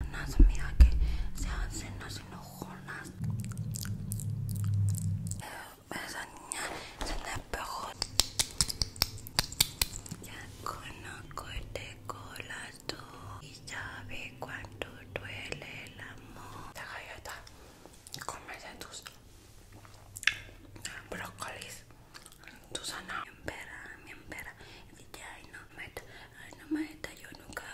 unas mira que se hacen las enojonas. Eh, esa niña se despejó. Ya conozco este corazón y sabe cuánto duele el amor. Esta galleta, de tus brócolis, tu sana Mi empera, mi empera. Y ya ay no, meta ay no, meta yo nunca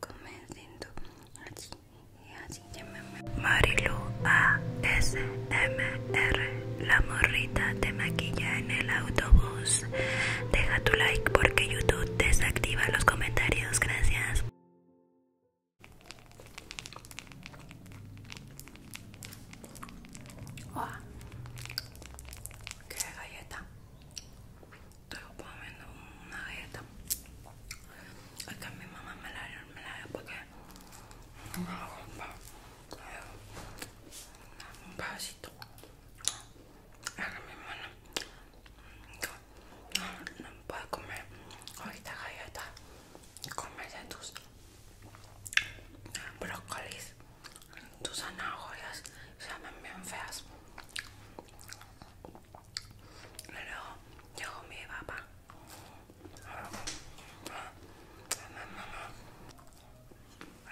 comenzando así y así Marilu A S M R La morrita te maquilla en el autobús Deja tu like porque YouTube desactiva los comentarios, gracias Wow. Ah, ¡Qué galleta! estoy comiendo una galleta acá que mi mamá me la dio, me la dio porque me un pedacito es mi mamá no, no puede comer esta galleta comerse tus brócolis tus zanahorias se llaman bien feas Luego llegó mi papá.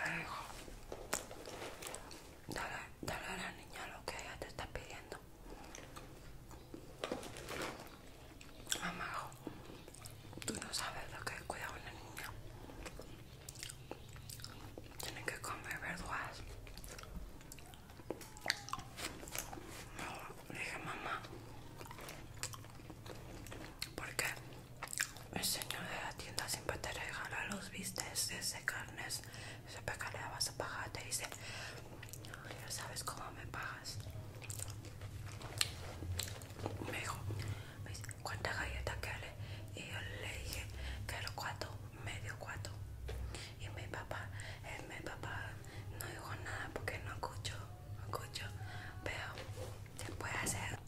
Le dijo, dale, dale a la niña lo que ella te está pidiendo. Mamá, tú no sabes lo que es cuidar a una niña. tiene que comer verduras, le dije, mamá, porque el señor de la tienda siempre te regala los vistes de carnes. se que le vas a pagar, te dice, ya sabes cómo me pagas. Me dijo, cuántas ¿cuánta galleta Y yo le dije, quiero cuatro medio cuatro y mi papá, eh, mi papá no dijo nada porque no escucho, no escucho, pero puede hacer,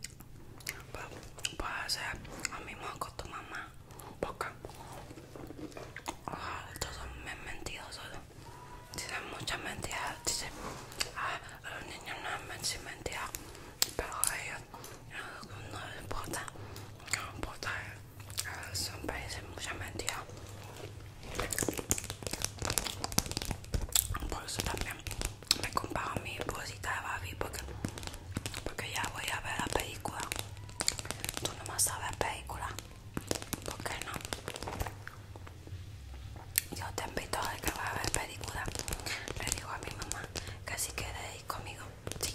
pues, puede hacer lo mismo con tu mamá, porque ah, todos estos son solo tienen muchas mentiras, dicen, ah, los niños no han mentiras, pero a ellos no, no les importa, no importa. Ah, son países mucha mentira. Por eso también me comparo mi bolsita de Barbie porque, ya voy a ver la película. Tú no más sabes película. ¿Por qué no? Yo te invito a que vaya a ver película. Le digo a mi mamá que si quieres ir conmigo sí.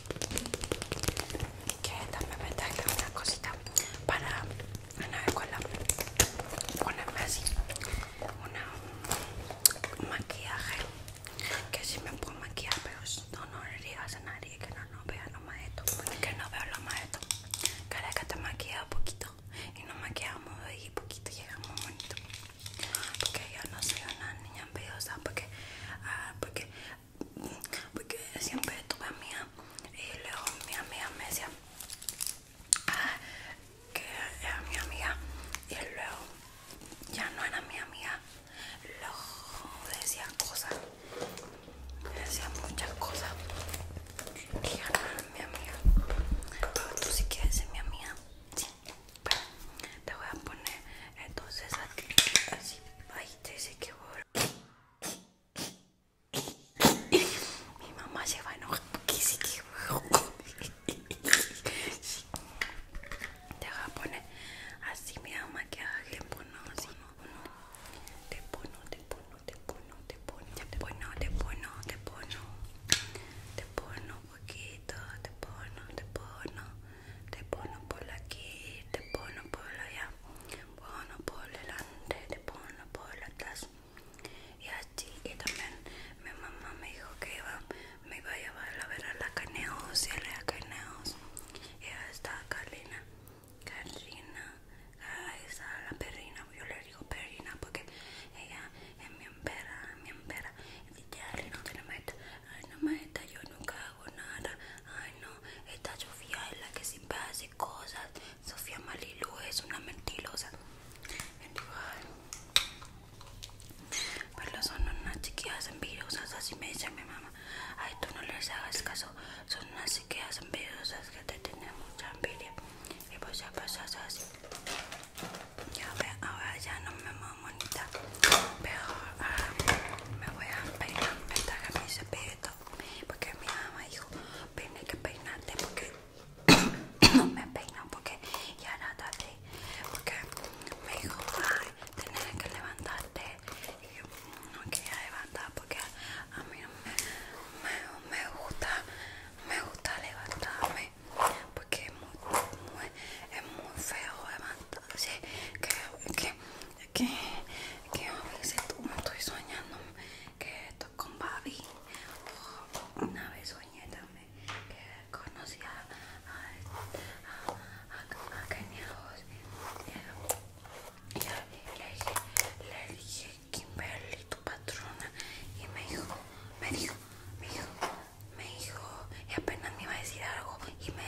Que también me traje una cosita para una vez con ponerme así. Una un maquillaje. Que si me puedo maquillar, pero no, no le digas a nadie que no, no vea lo más esto. Que no veo lo más esto. Cada que te un poquito y nos maquillamos y poquito llegamos bonito. Porque yo no soy una niña envidiosa porque ah, porque siempre tuve a mía y luego mi amiga me decía ah, que era mi amiga y luego ya no era mi amiga luego decía cosas decía muchas cosas y ya no era mi amiga pero tú si quieres ser mi amiga te voy a poner entonces aquí así ahí te dice que voy mi mamá se va a Te poner así, mi mamá que te pono, Te pono, te pono, te te te te te Te poquito, te pono, te pono, te pono por aquí, te pono por allá pone por delante, te pone por atrás y así y también mi mamá me dijo que me iba a llevar a ver a la Caneos y a la Caneos y ahí está Carlina Carlina, ahí está la perrina, yo le digo perrina porque ella es mi empera, mi empera y ya no, no, no, no, no, yo nunca Ay, no, esta Sofía es la que siempre hace cosas. Sofía Malilu es una mentirosa. Pero son unas chiquillas envidiosas, así me dice mi mamá. Ay, tú no les hagas caso. Son unas chiquillas envidiosas que te tienen mucha envidia. Y pues ya pasas así. Ya ve, ahora ya no me monita. Pero ah, me voy a peinar, me traje mi cepillito porque mi mamá dijo tienes que peinarte porque no me peino porque ya nada, tarde porque me dijo ay que levantarte y yo mm, no quería levantar porque a mí no me, gusta me gusta levantarme porque es muy, muy, es muy feo levantarse que, que que, que a veces estoy soñando que estoy con Babi. una vez soñé también que conocí a, a, a, y, y le, le dije Kimberly, tu patrona, y me dijo, me dijo, me dijo, me dijo, y apenas me iba a decir algo y me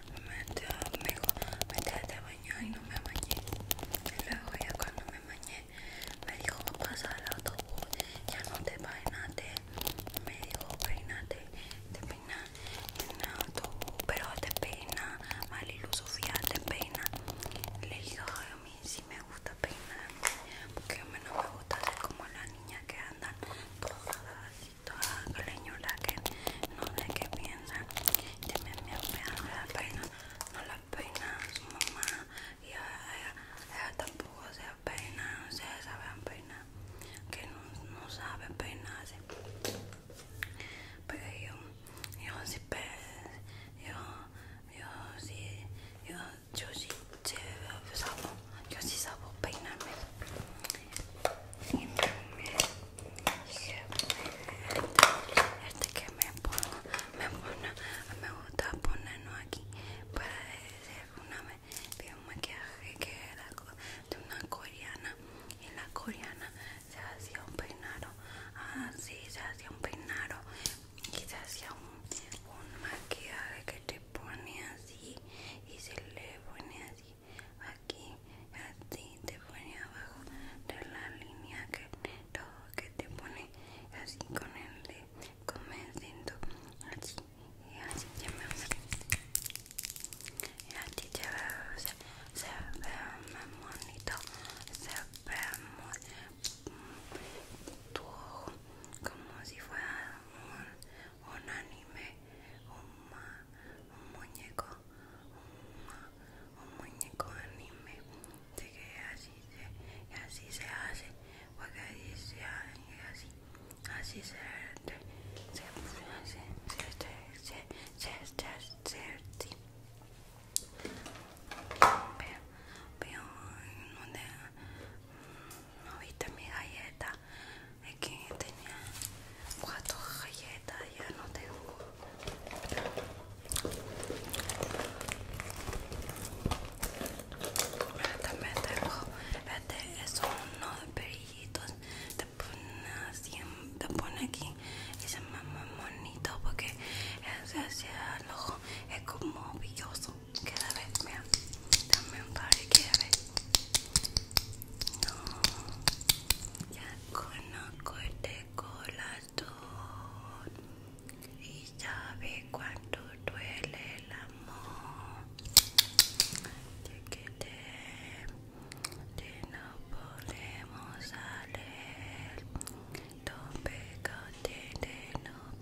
Mete, amigo, me metí de bañar y no me bañé. Y luego ya cuando me bañé, me dijo, pasa al autobús, ya no te bañaste Me dijo, peinate, te peina en el autobús, pero te peina, Marilu Sofía te peina. Le dijo a mí sí me gusta peinar, porque a mí no me gusta ser como las niñas que andan todas así toda señora que no sé qué piensa mi no la peina, no la peina mamá. Y ella, tampoco se peina, no se sabe peinar, que no, sabe peinarse. Pero pues, yo, yo sí yo, yo yo, sí, yo, sí, pues, yo sí sabo peinarme este que me pongo me gusta ponernos aquí para decir una vez un maquillaje que era de una coreana y la coreana se hacía un peinado así se hacía un peinado y se hacía un maquillaje que te pone así y se le pone así aquí, así te pone abajo de la línea que todo que te pone así con el de comenzando así y así ya me y así te se ve muy bonito se ve muy tu ojo como si fuera un un anime, un, muñeco, un, muñeco anime, de que así se, así se hace, porque así se hace, así se hace, se hace, se se se se mi galleta que tenía cuatro galletas, ya no tengo. También este es uno de perillitos. Te pone, así, te pone aquí y se llama porque es hacia el ojo, es como brilloso. cada vez me También un que a ver. Ya corté corazón y sabe cuánto duele el amor. Chiquete, que no podemos salir. Don't be no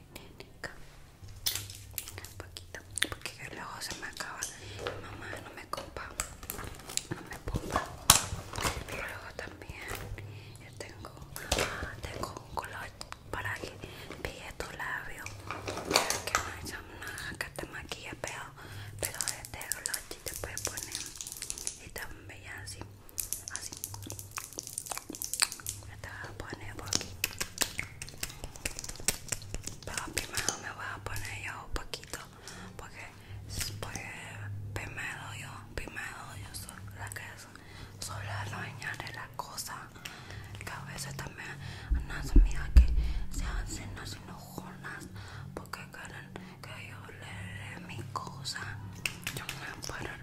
un poquito porque luego se me acaba mamá no me compa no me ponga pero luego también yo tengo ah, tengo un color para que pille tu labio que no es una que te maquilla pero pero este color te puede poner y tan bella así así me voy a poner por aquí pero primero me voy a poner yo poquito porque, primero yo primero yo soy la que soy la la cosa que a veces también unas amigas que se hacen así enojonas porque quieren que yo le dé mi cosa yo me voy a poner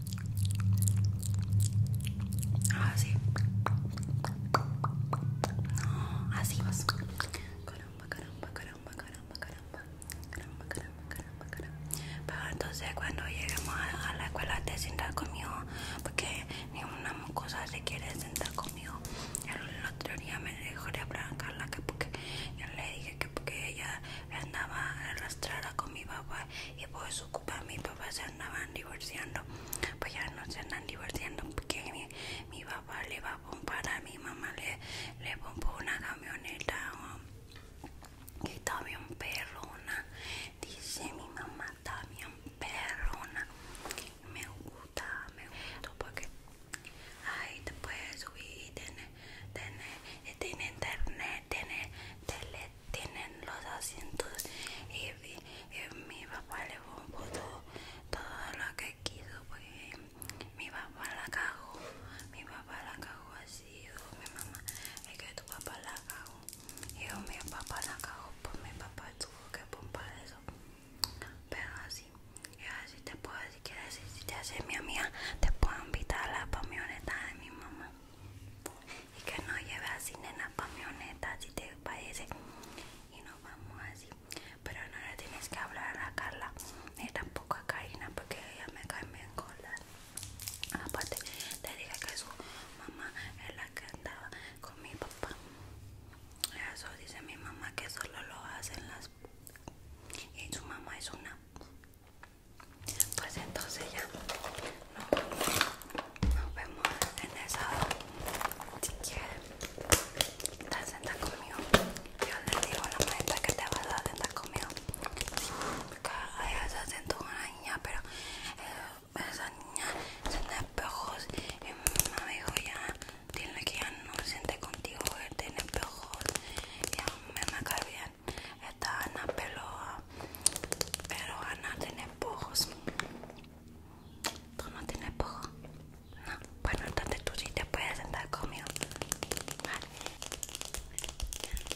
Así. Ah, no, así vas. Caramba, caramba, caramba, caramba, caramba. Caramba, caramba, caramba, caramba. Pero entonces cuando lleguemos a, la escuela te sientas conmigo. Porque ninguna una cosa se quiere sentar conmigo. El otro día me dejó de hablar Carla que porque yo le dije que porque ella andaba arrastrada con mi papá y por su culpa papá se andaban divorciando pues ya no se andan divorciando porque mi, papá le va a pompar a mi mamá le, le pompó una camioneta um, que y también perrona dice mi mamá también bien perrona me gusta me gusta porque ahí te puedes subir tener, internet tiene tele tienen los asientos y, mi papá le puso todo lo que quiso porque mi papá la cago mi papá la cagó así dijo mi mamá es que tu papá la cagó yo mi papá la cagó pues mi papá tuvo que pompar eso pero así yo así te puedo si quieres, si te hace mi amiga te puedo invitar a la camioneta de mi mamá y que no lleve así nena camioneta si te parece y nos vamos así pero no le tienes que hablar a Carla ni tampoco a Karina porque ella me cae bien con la aparte te dije que su mamá es la que andaba con mi papá eso dice mi mamá que solo lo hacen las y su mamá es una pues entonces ya nos vemos, en esa hora. Si quieres, te sentas conmigo. Yo le digo a la maestra que te vas a sentar conmigo. Sí, porque se se con una niña, pero eh, esa niña se espejos y mi mamá dijo ya, tiene que ya no siente contigo, tiene espejos. Ya me me esta Ana peloa, pero Ana tiene pojos. Tú no tienes pojos. No, bueno, entonces tú si te puedes sentar conmigo. Vale.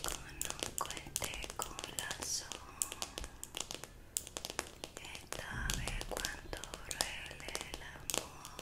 Con un de corazón. Esta vez cuando duele el amor.